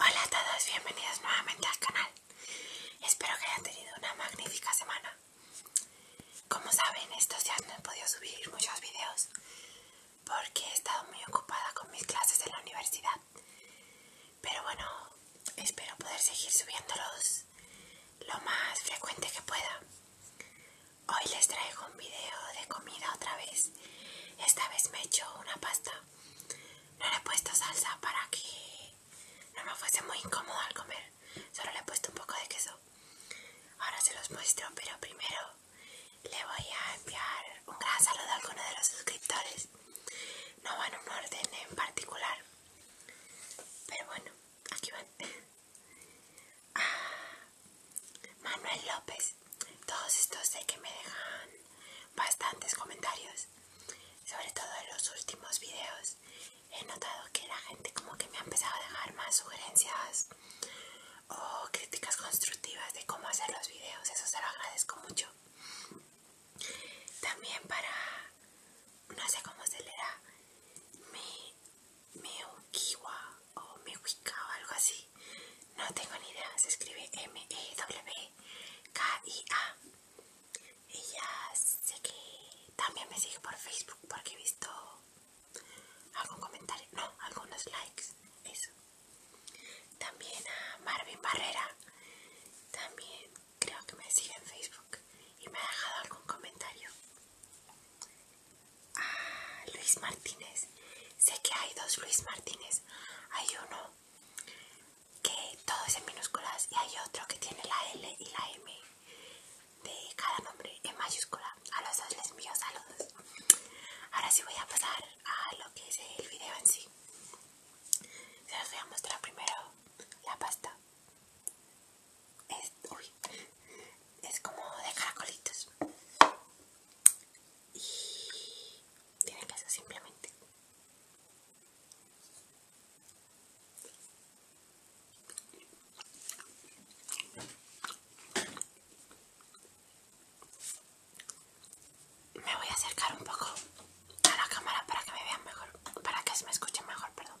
Hola a todos, bienvenidos nuevamente al canal. Espero que hayan tenido una magnífica semana. Como saben, estos días no he podido subir muchos videos porque he estado muy ocupada con mis clases en la universidad. Pero bueno, espero poder seguir subiéndolos lo más frecuente que pueda. Hoy les traigo un video de comida otra vez. Esta vez me he hecho una pasta. No le he puesto salsa para que no me fuese muy incómodo al comer. Solo le he puesto un poco de queso. Ahora se los muestro, pero primero le voy a enviar un gran saludo a alguno de los suscriptores. No van en un orden en particular. Pero bueno, aquí van. Ah, Manuel López. Todos estos sé que me dejan bastantes comentarios, sobre todo en los últimos videos. He notado que la gente como que me ha empezado a dejar más sugerencias o críticas constructivas de cómo hacer los videos. Eso se lo agradezco mucho. También para, no sé cómo se le da, me, ukiwa o me o algo así. No tengo ni idea, se escribe M-E-W-K-I-A. Ella sé que también me sigue por Facebook porque he visto algún comentario, no, algunos likes, eso. También a Marvin Barrera, también creo que me sigue en Facebook y me ha dejado algún comentario. A Luis Martínez, sé que hay dos Luis Martínez, hay uno que todo es en minúsculas y hay otro que tiene la L y la M de cada nombre en mayúscula. A los dos les envío saludos. Ahora sí voy a pasar a lo que es el video en sí. Se los voy a mostrar primero la pasta. Es, como de caracolitos. Y que ser simplemente. Me voy a acercar un poco a la cámara para que me vean mejor, para que se me escuche mejor, perdón.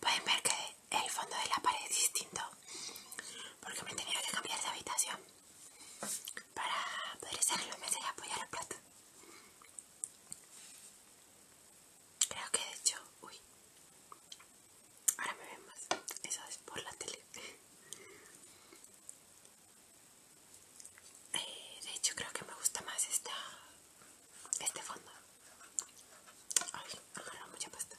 Pueden ver que el fondo de la pared es distinto porque me he tenido que cambiar de habitación para poder hacerlo, los meses y apoyar el plato. Creo que de hecho, uy, Ahora me ven más. Eso es por la tele. Eh, de hecho, creo que me gusta más esta, este fondo. Ay, agarra mucha pasta.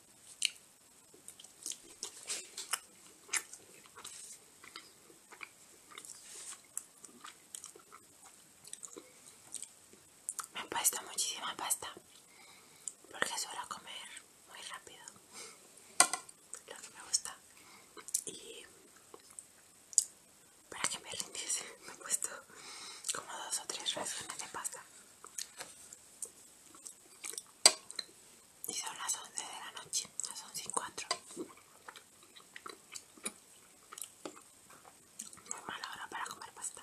Me he puesto muchísima pasta porque suelo comer muy rápido lo que me gusta y para que me rindiese me he puesto como dos o tres raciones de pasta y son las 11 de la noche, las 11 y 4. Muy mala hora para comer pasta.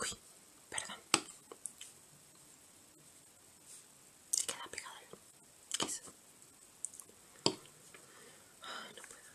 Uy, perdón. Se queda pegado el queso. Ah, no puedo.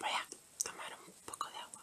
Voy a tomar un poco de agua.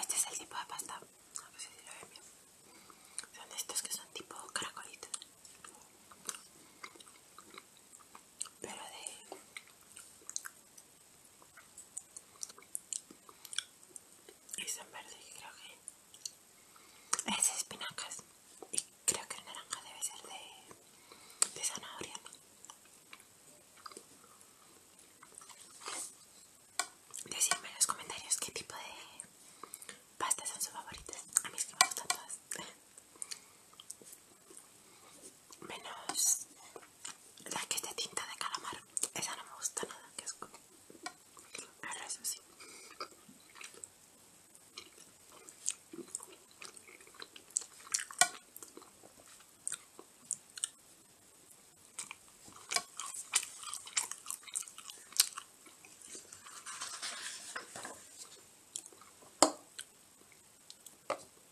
Este es el tipo de pasta, no sé pues si lo ven bien. Son estos que son tipo caracolitos. Pero de y son verde y creo que es espinacas y creo que el naranja debe ser de, de zanahoria decidme en los comentarios qué tipo de pastas son sus favoritas a mí es que me gustan todas menos la que es de tinta de calamar. Esa no me gusta nada, que es como... Ahora eso sí.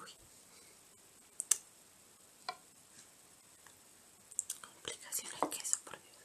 Uy. Complicaciones queso, por Dios.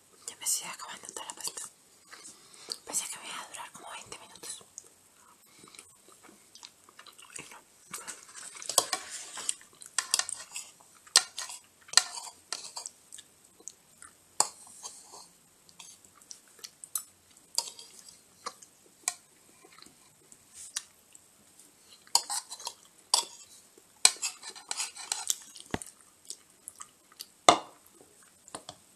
ya me estoy acabando toda la pasta. Pensé que me iba a durar como 20 minutos. Y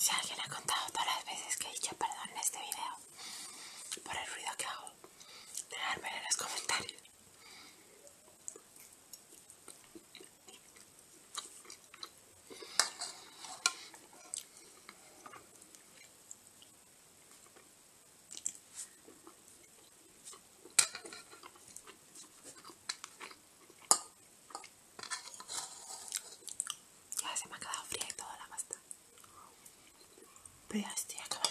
Si alguien ha contado todas las veces que he dicho perdón en este video por el ruido que hago, dejármelo en los comentarios. Ya se me ha quedado fría y toda la pasta. Pero ya estoy acabando.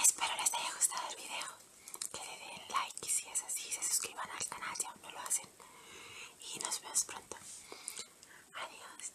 Espero les haya gustado el video, que le den like si es así, se suscriban al canal si aún no lo hacen y nos vemos pronto. Adiós.